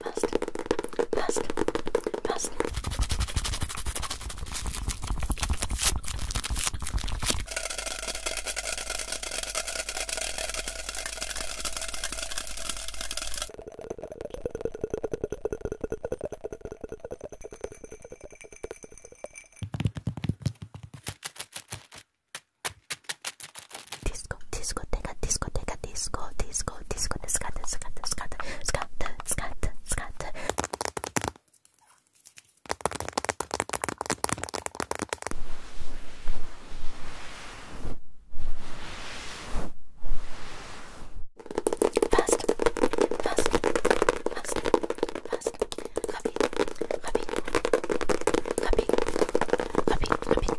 Past, past, past disco, discoteca, discoteca, disco, disco, disco, descata, descata, descata, descata, descata, descata. Fast, fast, fast, fast, rapid, rapid, rapid, rapid, rapid.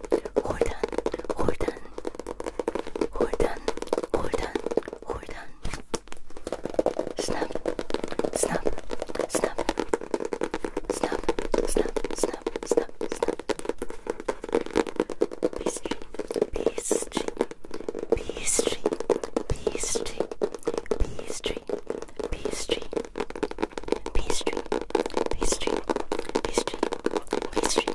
Hold Hold on. on. Hordan, Hordan, Hordan, Hordan, Hordan. Snap, snap, snap, snap, snap, snap, snap, snap. Pastry, pastry, pastry, pastry, pastry, pastry, pastry, pastry, pastry, pastry,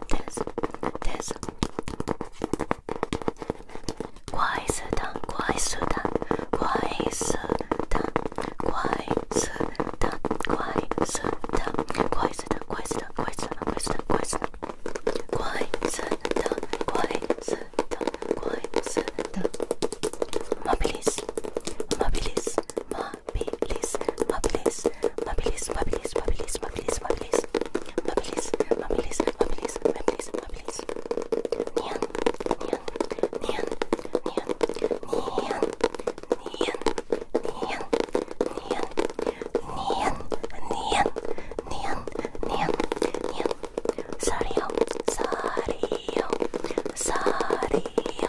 this, this. 快速的，快速的，快速的，快速的，快速的，快速的，快速的，快速的，快速的，快速的，快速的，快速的，快速的。Mobilis, mobilis, mobilis. Mabilis, mabilis, mabilis, mabilis, mabilis, mabilis, mabilis, mabilis, mabilis, mabilis, mabilis, mabilis. Nian, nian, nian, nian, nian, nian, nian, nian, nian, nian, nian, nian, nian. Sario, sario, sario.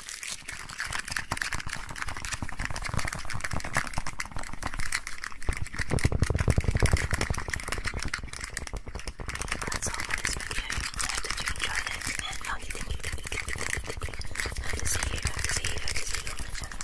That's all for this video. I hope that you enjoyed it and now you think you did it. Hope to see you, hope to see you, hope to see you on the channel.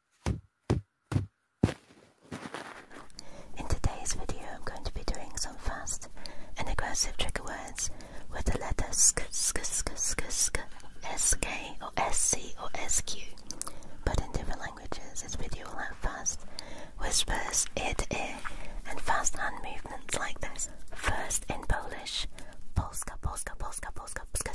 In today's video, I'm going to be doing some fast and aggressive trigger words with the letters sk, sk, sk, sk, sk, sk, or sc, or sq. But in different languages, this video will have fast whispers, ear to ear, and fast hand movements like this. First in Polish, polska, polska, polska, polska, polska,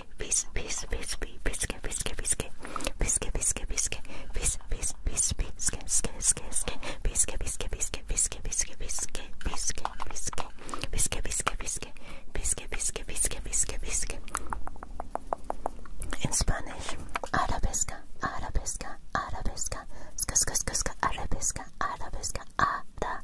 biscuit, bis, bis, bis, biscuit, biscuit, biscuit, biscuit, biscuit, biscuit, bis, bis, bis, biscuit, biscuit, biscuit, biscuit, biscuit, biscuit, biscuit, biscuit, biscuit, biscuit, biscuit, biscuit, biscuit, biscuit, biscuit, biscuit, biscuit, biscuit, biscuit. In Spanish, arabesca, arabesca, arabesca, ska, ska, ska, ska, arabesca, arabesca, arabesca.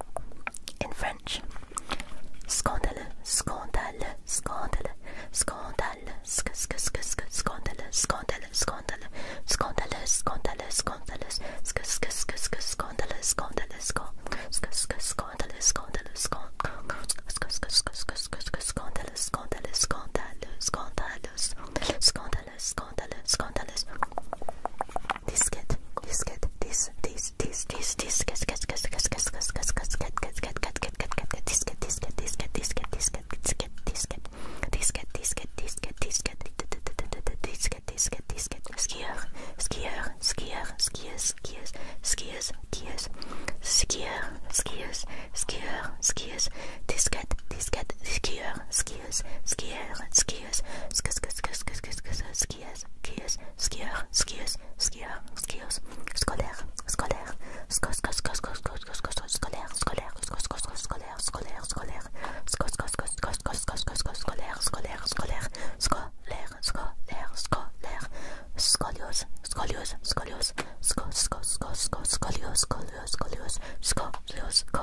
in French. Scandale, scandale, scandale, scandale, sk sk sk sk scandale, scandale, scandale, scandale, scandale, scandale, sk sk sk sk scandale, scandale, sk sk scandale, scandale, sk sk sk sk sk scandale, scandale, scandale, scandale, scandale, scandale, scandale, scandale this cat, this cat, this, this, this, this, this cat, cat, cat, cat, cat, cat, cat, cat, cat, cat, cat, cat, cat, cat, cat, cat, this cat, this cat, this cat, this cat, this cat, this cat, this cat, this cat, this cat, this cat, this cat, this cat, this cat, this cat, skier, skier, skier, skiers, skiers, skiers, skiers, skier, skiers, skier, skiers, this cat, this cat, skier, skier skiers, skier, skiers, skiers, skiers, skiers, skiers, skiers, skier, skiers, skier, skiers, scolaire, scolaire, scolaire, scolaire, scolaire, scolaire, scolaire, scolaire, scolaire, scolaire, scolaire, scolaire, scolaire, scolaire, scoliose, scoliose, scoliose, scoliose, scoliose, scoliose, scoliose, scoliose, scoliose,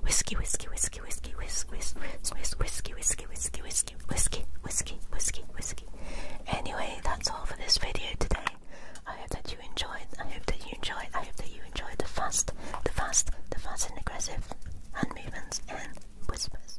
whiskey, whiskey, whiskey, whiskey, whiskey, whiskey, whiskey, whiskey, whiskey, whiskey, whiskey, whiskey, whiskey, whiskey. Anyway, that's all for this video today. I hope that you enjoyed. I hope that you enjoyed. I hope that you enjoyed the fast, the fast, the fast and aggressive hand movements and whispers.